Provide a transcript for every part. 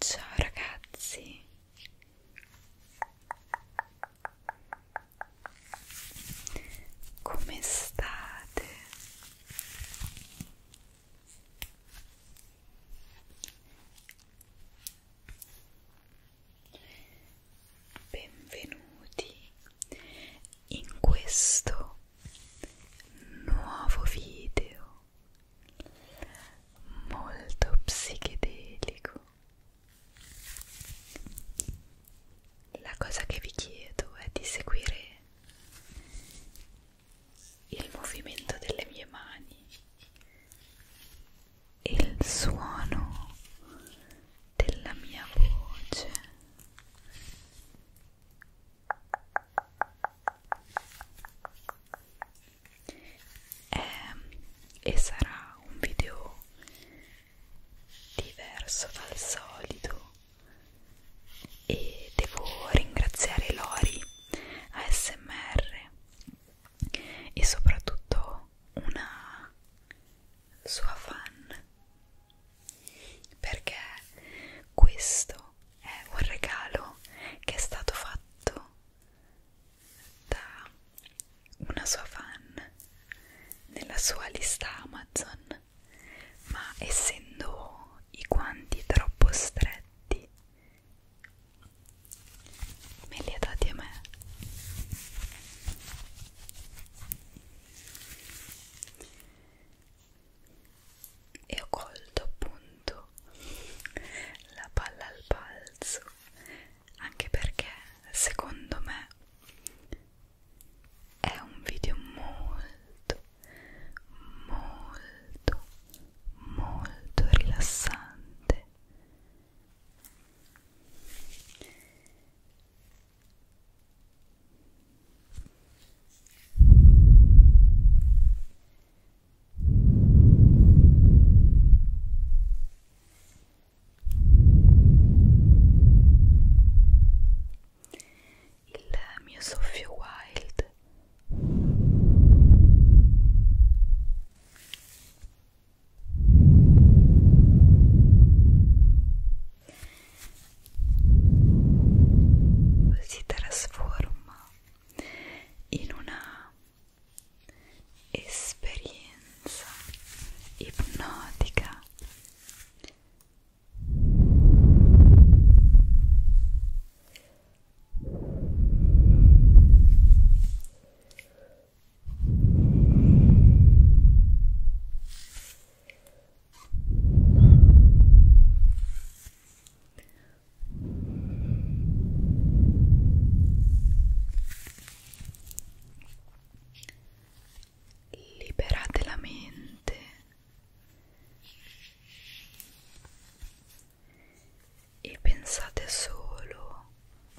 Ciao ragazzi, come state? Benvenuti in questo nuovo video molto psichedelico la cosa che vi chiedo è di seguire il movimento delle mie mani e il suono della mia voce è, ehm, e sarà un video diverso dal solito e devo ringraziare Lori ASMR e soprattutto una sua fan perché questo è un regalo che è stato fatto da una sua fan nella sua lista Amazon ma essendo i guanti troppo stretti me li ha dati a me e ho colto appunto la palla al balzo anche perché secondo me è un video molto molto molto rilassante il mio soffio wild si trasforma in una esperienza ipnotica Liberate la mente e pensate solo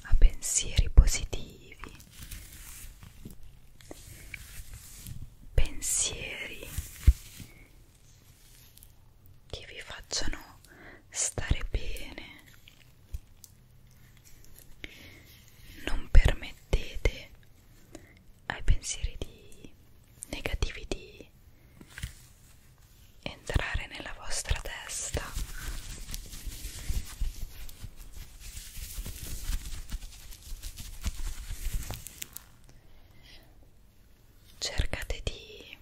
a pensieri positivi, pensieri che vi facciano stare bene. Non permettete ai pensieri di negativi di entrare nella vostra testa Cercate di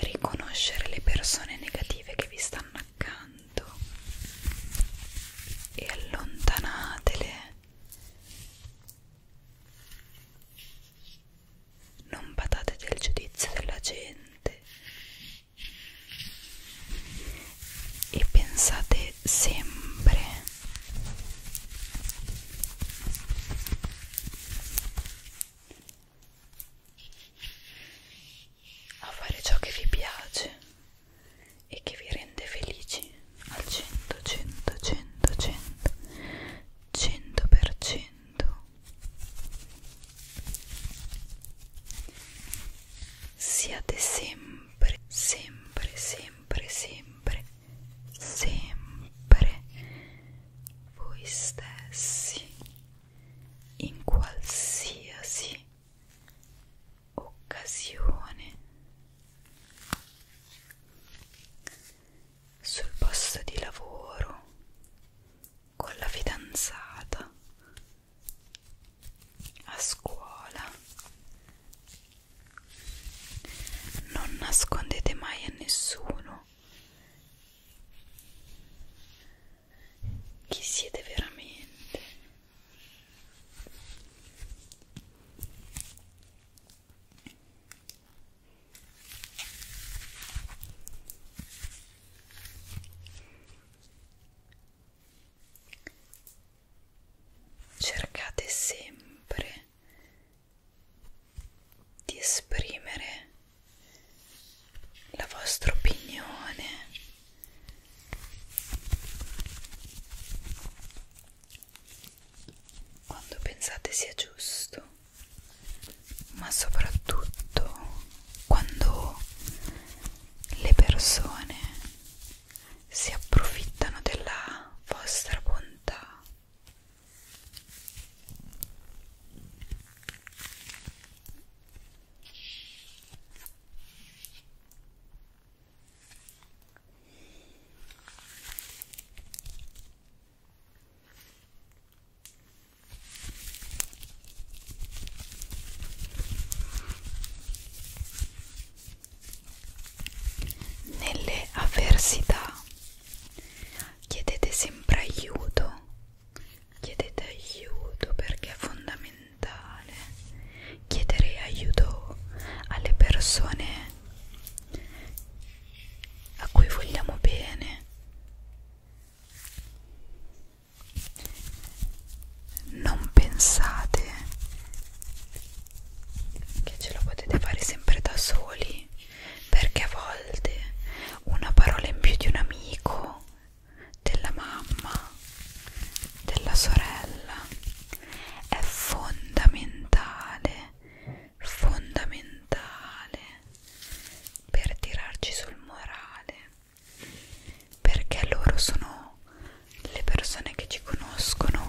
riconoscere le persone negative che vi stanno accanto e allontanatele. Non badate del giudizio della gente, e pensate sempre a fare ciò che vi piace e che vi rende felici al 100 100 100 100 100% Siate sempre, sempre, sempre, sempre, sempre voi stessi in qualsiasi occasione sul posto di lavoro con la fidanzata a scuola non nascondete mai a nessuno chi siete veramente Cercate sempre di esprimere la vostra opinione quando pensate sia giusto ma soprattutto quando le persone si approfittano della vostra bontà nelle avversità chiedete sempre aiuto, chiedete aiuto perché è fondamentale chiedere aiuto alle persone a cui vogliamo bene non pensate che ce lo potete fare sempre da soli perché a volte una parola in più di un amico della mamma della sorella è fondamentale fondamentale per tirarci sul morale perché loro sono le persone che ci conoscono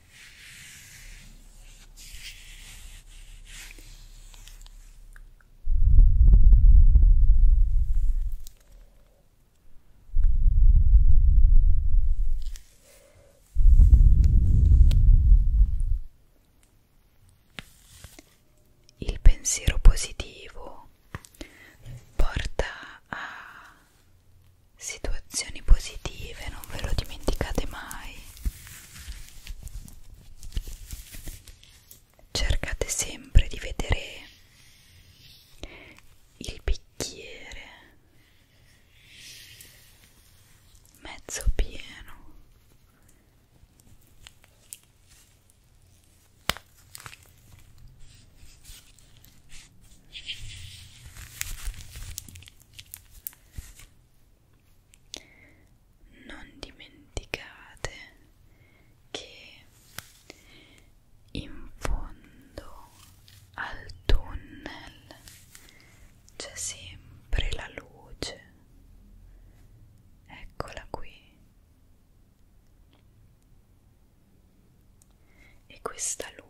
Il pensiero positivo porta a situazioni positive, non ve lo dimenticate mai cercate sempre di vedere il bicchiere mezzo pieno non dimenticate che in fondo al tunnel c'è sempre la luce eccola qui e questa luce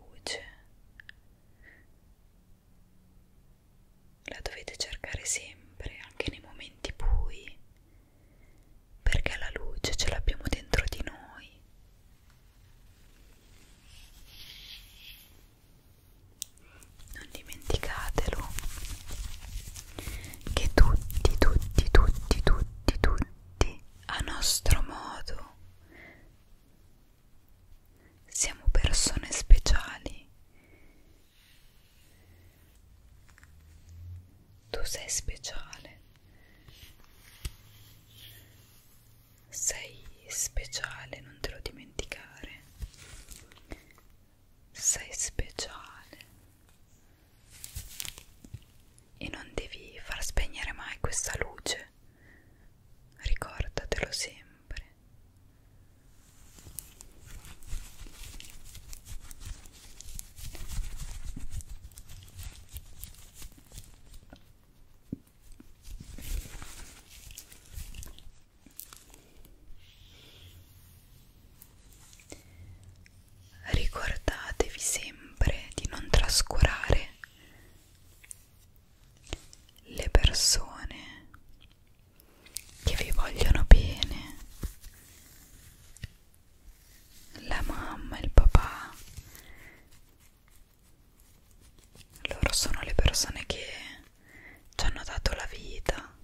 la dovete cercare sempre, anche nei momenti bui, perché la luce ce l'abbiamo dentro di noi. Non dimenticatelo che tutti, tutti, tutti, tutti, tutti a nostro modo siamo persone speciali. Tu sei speciale. Sei speciale, non te lo dimenticare. Sei speciale. E non devi far spegnere mai questa luce niente. Ricordatelo sempre. Ricordatevi sempre di non trascurare le persone che vi vogliono bene la mamma il papà loro sono le persone che ci hanno dato la vita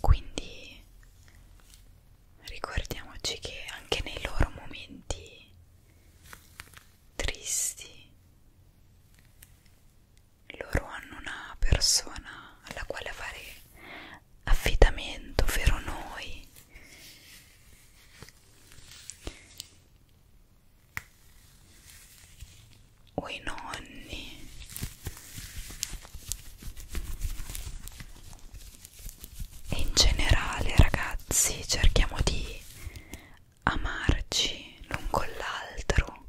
quindi ricordiamoci che anche nei loro momenti tristi loro hanno una persona alla quale fare affidamento, vero noi o i nonni e in generale ragazzi cerchiamo di amarci l'un con l'altro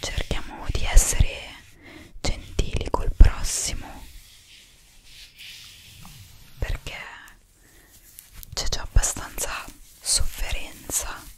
cerchiamo di essere gentili col prossimo perché c'è già abbastanza sofferenza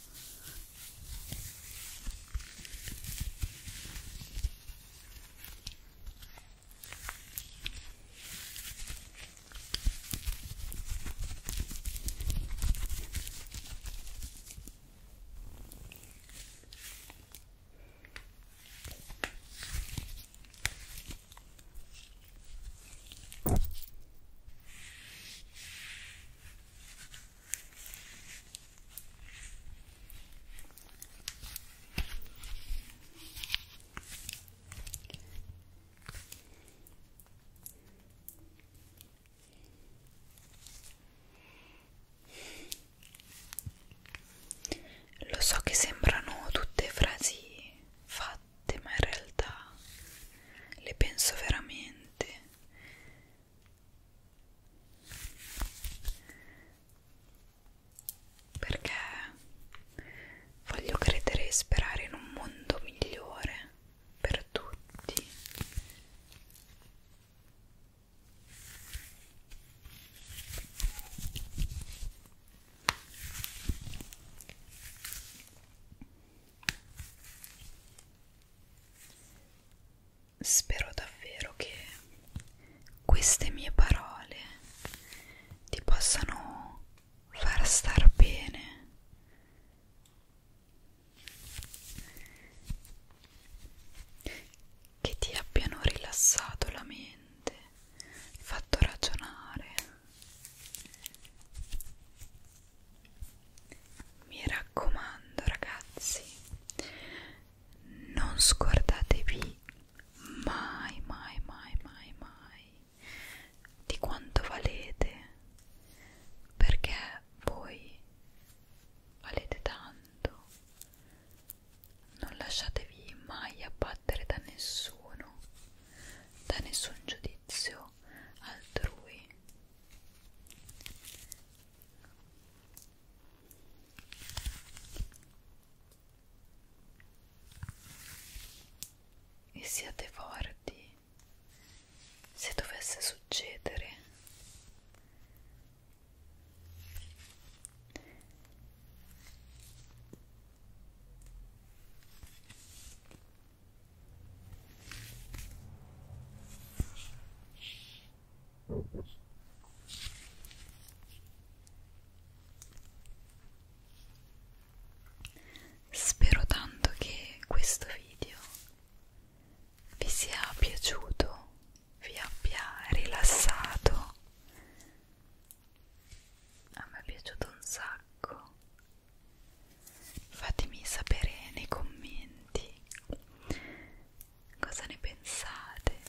lo so che sembrano tutte frasi fatte fatte ma in realtà le penso veramente perché voglio credere e sperare in un mondo migliore per tutti Spero davvero che queste mie parole ti possano far star bene. Che ti abbiano rilassato la mente mente, hai fatto ragionare. Mi raccomando ragazzi, non scordatevi mai, mai, mai, mai, mai di quanto valete, perché voi valete tanto non lasciatevi mai abbattere da nessuno, da nessun giudizio altrui. E siate forti se dovesse succedere. Spero tanto che questo video vi sia piaciuto, vi abbia rilassato a me è piaciuto un sacco fatemi sapere nei commenti cosa ne pensate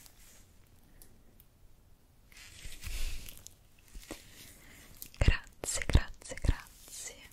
grazie grazie grazie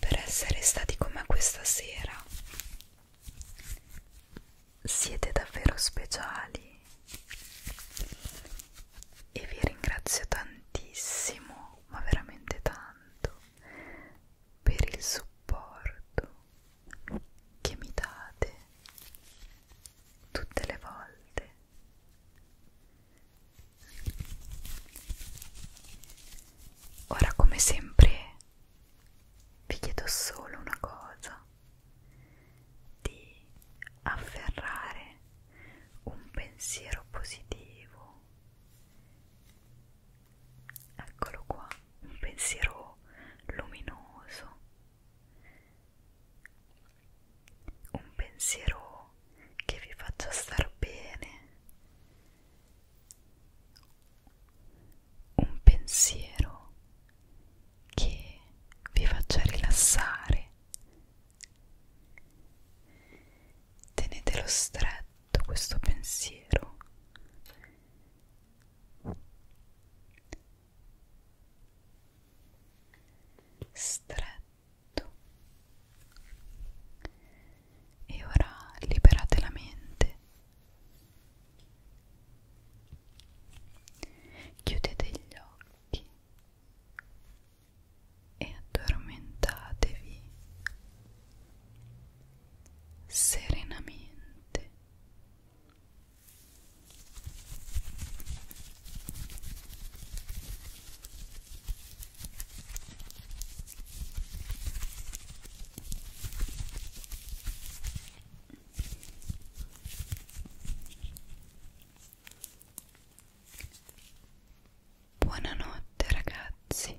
per essere stati con me questa sera. Siete davvero speciali e vi ringrazio tantissimo, ma veramente tanto, per il supporto che mi date tutte le volte Ora come sempre vi chiedo solo una cosa, di afferrare un pensiero positivo. Eccolo qua, un pensiero luminoso un pensiero che vi faccia star bene, un pensiero che vi faccia rilassare. Tenetelo stretto questo pensiero stretto e ora liberate la mente chiudete gli occhi e addormentatevi serenamente Buonanotte ragazzi.